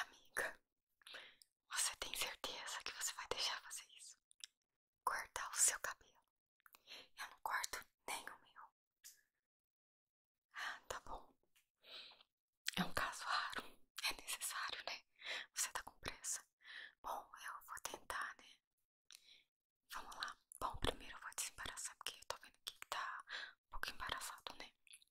Amiga, você tem certeza que você vai deixar fazer isso? Cortar o seu cabelo. Eu não corto nem o meu. Ah, tá bom. É um caso raro. É necessário, né? Você tá com pressa. Bom, eu vou tentar, né? Vamos lá. Bom, primeiro eu vou desembaraçar, porque eu tô vendo que tá um pouco embaraçado, né?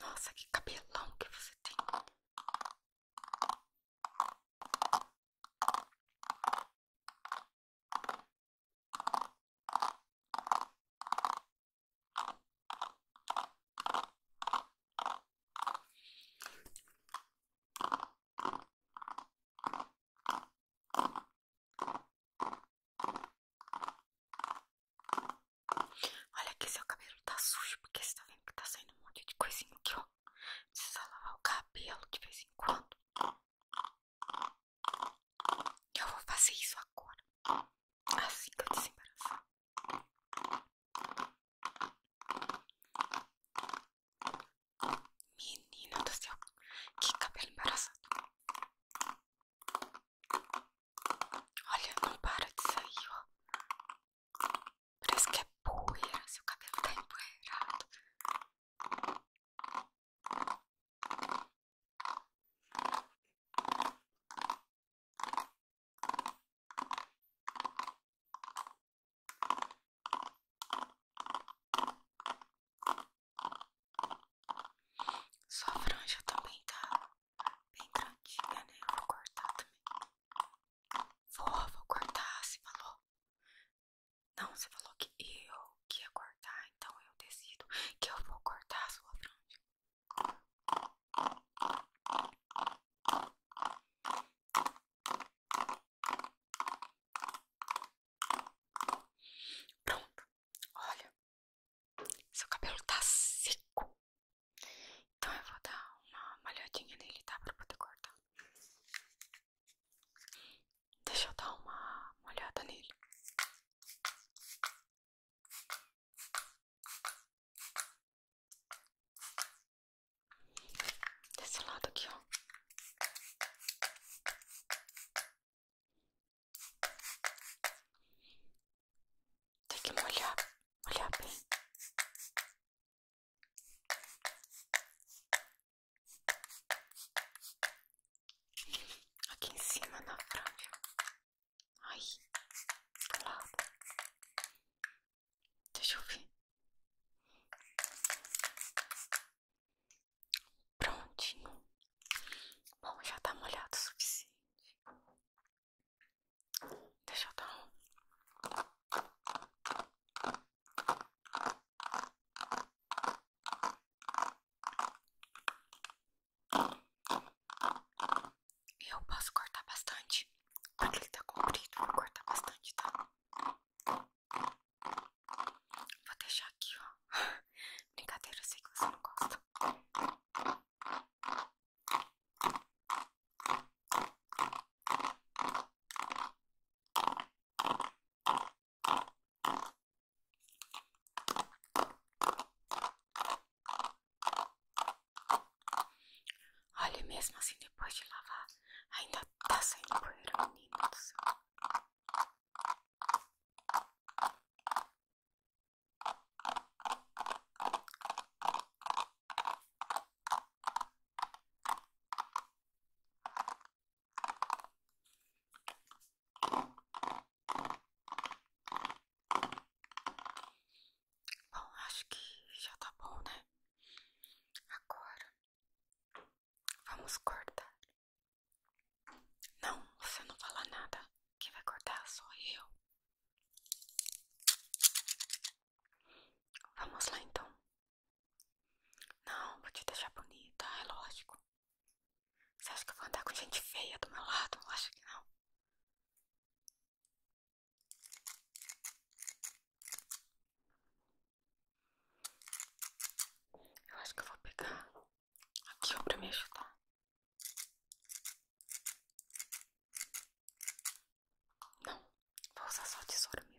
Nossa, que cabelão que você tem. Olha que seu cabelo tá sujo, porque você tá vendo que tá saindo um monte de coisinha aqui, ó. Precisa lavar o cabelo de vez em quando. Eu vou fazer isso agora. Assim que eu desembaraçar. Menina do céu, que cabelo embaraçado. Olha, não para de sair, Parece que é poeira, o cabelo tá empoeirado. Sua franja também tá bem grandinha, né? Eu vou cortar também. Vou, vou cortar, você falou. Não, você falou que eu que ia cortar, então eu decido que eu vou cortar a sua franja. Pronto, olha, seu cabelo tá seco, então eu vou dar uma molhadinha nele, tá? Pra poder cortar. Deixa eu dar uma, molhada nele. Desse lado aqui, ó. Tem que molhar, molhar bem. Aqui em cima na franja. Ai, lá Deixa eu ver. Prontinho. Bom, já tá molhado o suficiente. Deixa eu dar um. Eu posso cortar bastante. Porque ele tá comprido, vou cortar bastante, tá? Vou deixar aqui, ó. Brincadeira, eu sei que você não gosta. Olha, mesmo assim, depois de lavar, ainda tá saindo poeira, menino do céu. Bom, acho que já tá bom, né? Agora vamos cortar. Não, você não fala nada. Quem vai cortar sou eu. Vamos lá então. Não, vou te deixar bonita, é lógico. Você acha que eu vou andar com gente feia do meu lado? Acho que não. Eu acho que eu vou pegar aqui ó, pra me ajudar. Não, vou usar só a tesoura mesmo.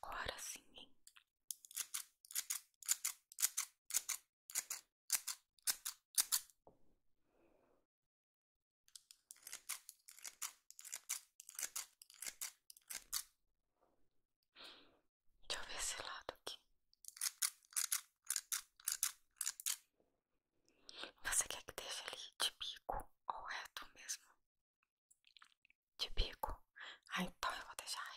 Agora sim, Deixa eu ver esse lado aqui. Você quer que deixe ele de bico ou reto mesmo? De bico? Ah, então eu vou deixar reto.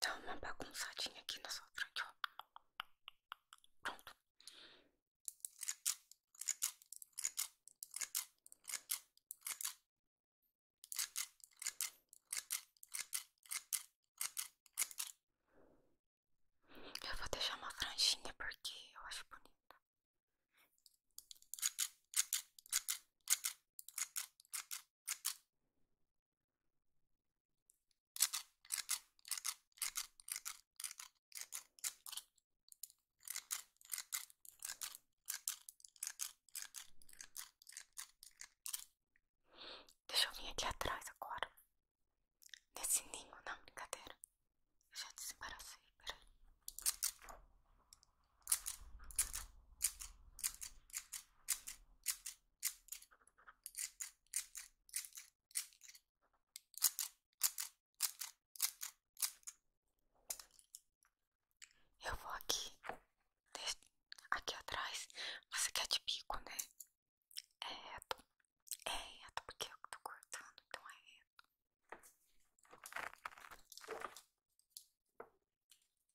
Dá tá uma bagunçadinha aqui na sua frente, Pronto. Eu vou deixar uma franjinha porque eu acho bonita. Deixa eu vir aqui atrás agora. Nesse ninho, não, brincadeira. Eu já desembaracei, peraí. Eu vou aqui, aqui atrás. Você quer de bico, né? É reto. É reto porque eu tô cortando, então é reto.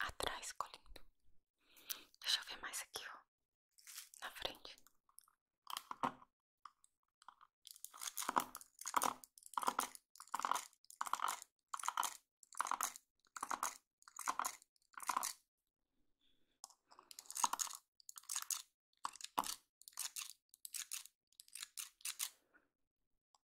Atrás ficou Deixa eu ver mais aqui, ó. Na frente.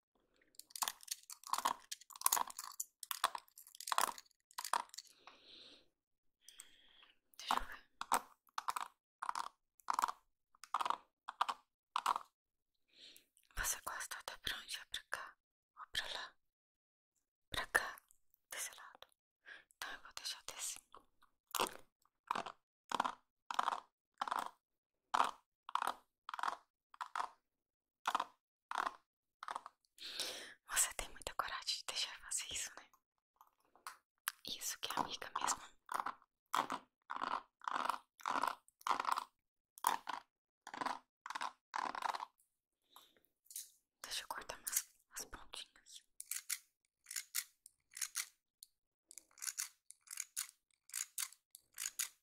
Deixa eu ver. Você gosta da prancha é pra cá ou pra lá? Pra cá, desse lado. Então eu vou deixar desse. Você tem muita coragem de deixar fazer isso, né? Isso que é amiga mesmo. Deixa eu cortar mais as pontinhas.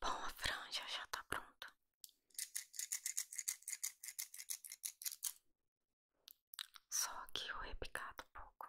Bom, a franja já está pronta. Só que eu repicado um pouco.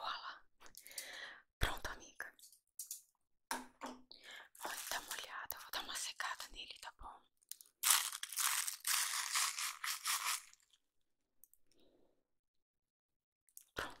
Voilà! Pronto, amiga. Vou dar uma olhada, Vou dar uma secada nele, tá bom? Pronto.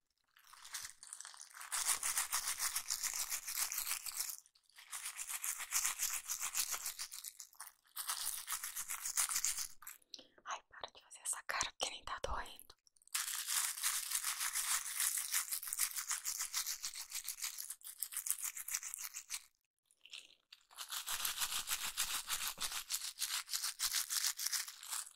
Ai, para de fazer essa cara porque nem tá doendo.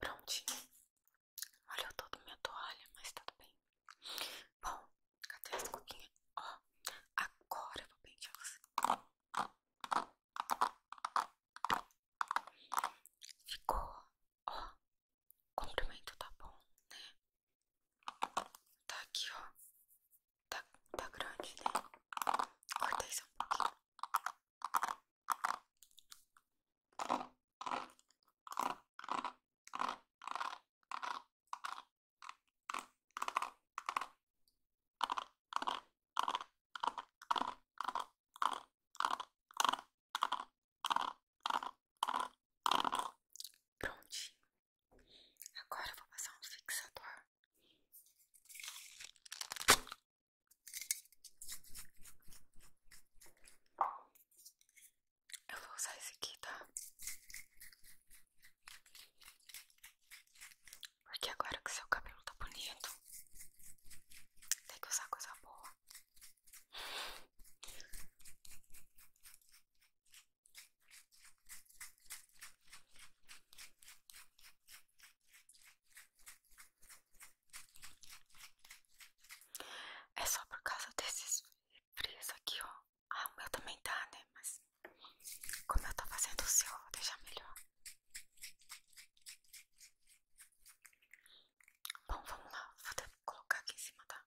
Prontinho. Olha, eu tô com minha toalha, mas tudo bem. Bom, cadê as coquinhas? Ó, agora eu vou pentear você. Ficou, ó, comprimento tá bom, né? Tá aqui, ó. Tá, tá grande, né? Cortei só Prontinho. Agora eu vou passar um fixador. Eu vou usar esse aqui, tá? Porque agora que seu cabelo tá bonito, tem que usar coisa boa. É só por causa desses frizz aqui, ó. Ah, o meu também dá, tá, né? Mas como eu tô fazendo o seu, eu vou deixar melhor. Bom, vamos lá. Vou até colocar aqui em cima, tá?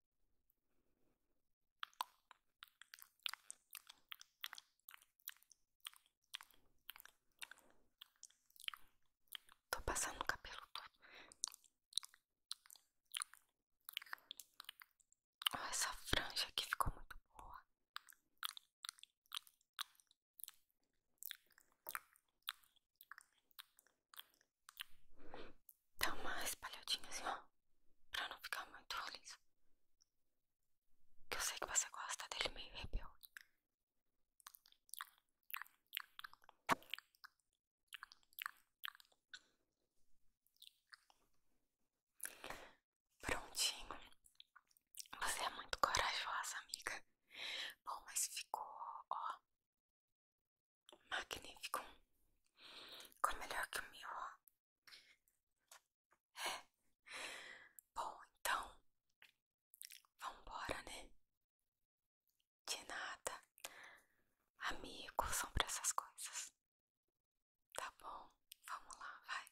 Estou passando o cabelo todo. Oh, essa franja aqui ficou muito boa. Dá uma espalhadinha assim, ó. Pra não ficar muito liso. Que eu sei que você gosta dele meio rebelde. Prontinho. Você é muito corajosa, amiga. Bom, mas ficou, ó magnífico. com melhor que o meu, É. Bom, então. vamos embora, né? De nada. Amigos são pra essas coisas. Tá bom, vamos lá, vai.